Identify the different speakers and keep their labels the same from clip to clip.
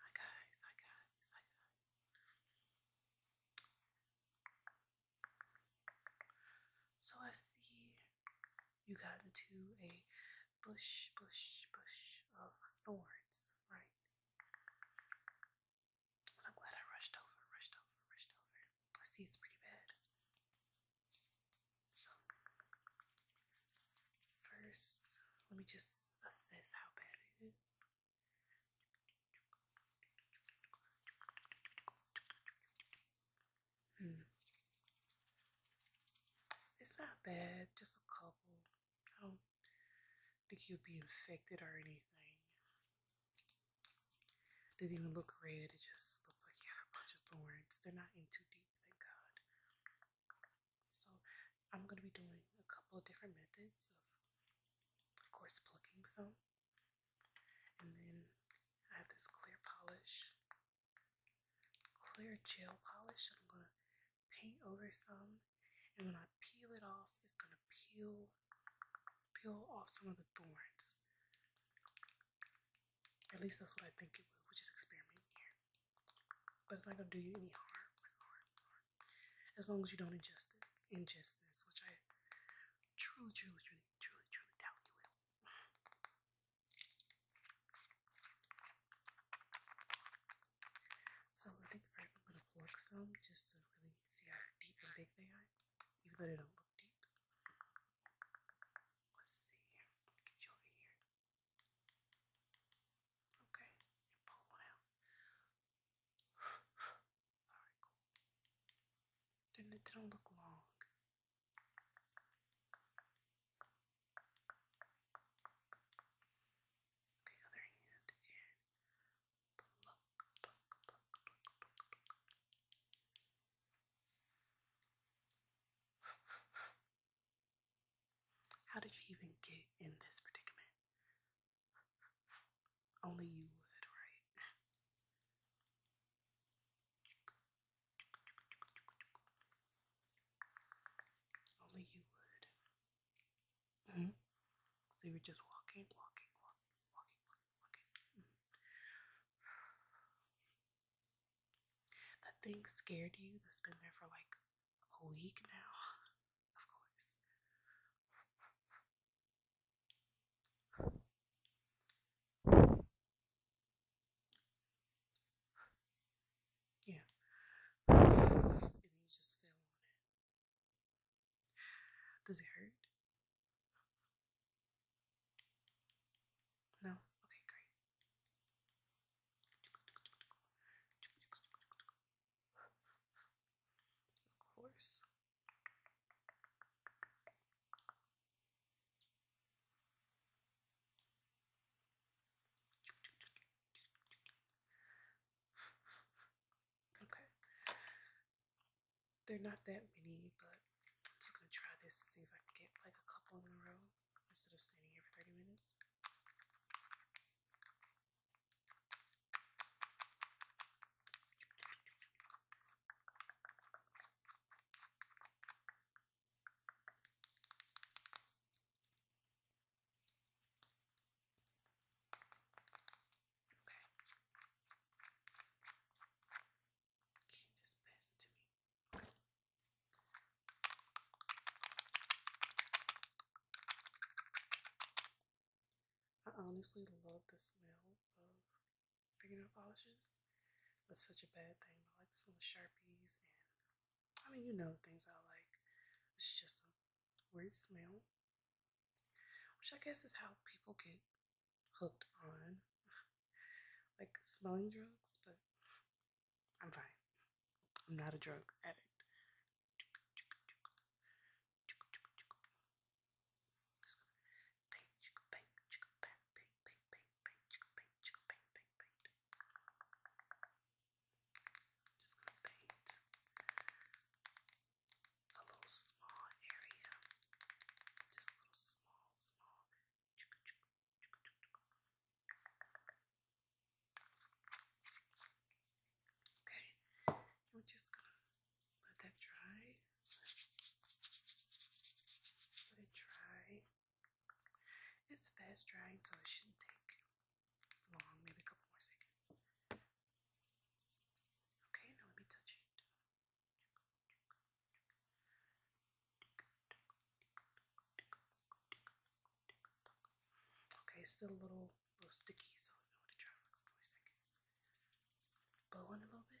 Speaker 1: Hi guys, hi guys, hi guys. So I see you got into a bush, bush, bush of thorns, right? I'm glad I rushed over, rushed over, rushed over. I see it's pretty bad. First, let me just assess how bad it is. Hmm. It's not bad, just a couple. I don't think you'll be infected or anything. It doesn't even look red. It just looks like you have a bunch of thorns. They're not in too deep, thank God. So I'm going to be doing a couple of different methods of, of course, plucking some. And then I have this clear polish, clear gel polish I'm going to paint over some. And when I peel it off, it's going to peel peel off some of the thorns. At least that's what I think it would, which is experimenting here. But it's not gonna do you any harm, As long as you don't ingest it, ingest this, which I truly, truly, truly, truly, truly doubt you will. so I think first I'm gonna pluck some just to really see how deep and big they are, even though they don't look deep. Let's see. Get you over here. Okay, pull one out. Alright, cool. Didn't it didn't look long. Okay, other hand how did you even get in this predicament? Only you would, right? Only you would. Mm-hmm. So you are just walking, walking, walking, walking, walking, That thing scared you that's been there for like a week now. Of course. Yeah. Does it hurt? No? Okay, great. Of course. Okay. They're not that many, but I'm just gonna try this to see if I can get like a couple in a row instead of standing here for 30 minutes. Okay. Can just pass it to me? I honestly love the smell of fingernail polishes. It's such a bad thing. I like the smell of Sharpies and I mean you know things I like. It's just where you smell, which I guess is how people get hooked on like smelling drugs, but I'm fine. I'm not a drug addict. I'm just going to paint a little small area. Just little small, small. Okay, we're just gonna let that dry. Let it dry. It's fast drying, so it shouldn't take long, maybe a couple more seconds. Okay, now let me touch it. Okay, it's still a little, little sticky, so I want to try for a couple more seconds. Blow on a little bit.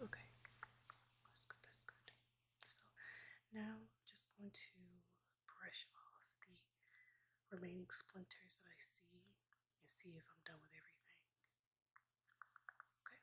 Speaker 1: Okay, that's good, that's good. So now I'm just going to brush off the remaining splinters that I see and see if I'm done with everything. Okay.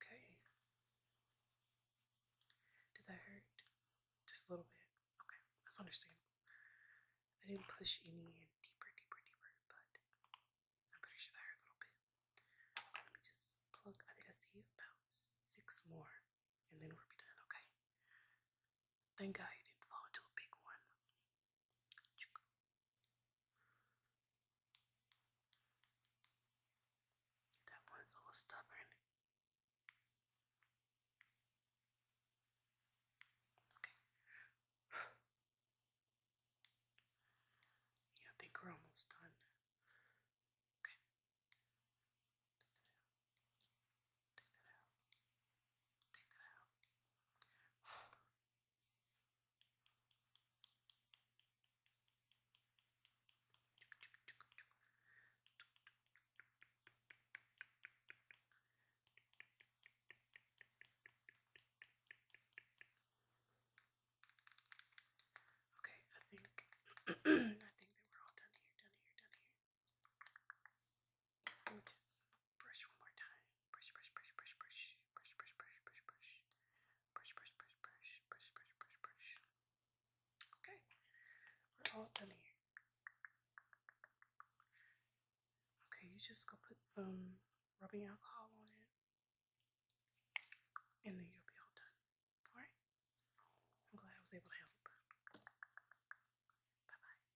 Speaker 1: Okay. Did that hurt? Just a little bit. Okay, that's understandable. I didn't push any deeper, deeper, deeper, but I'm pretty sure that hurt a little bit. Let me just plug, I think I see about six more, and then we'll be done, okay? Thank God you didn't fall into a big one. That one's a little stubborn. Okay. yeah, I think we're almost done. Okay. Okay, I think I think we're all done here, done here, done here. Okay, we're all done here. Okay, you just go put some rubbing alcohol on it, and then you'll be all done. All right. I'm glad I was able to help. Bye bye.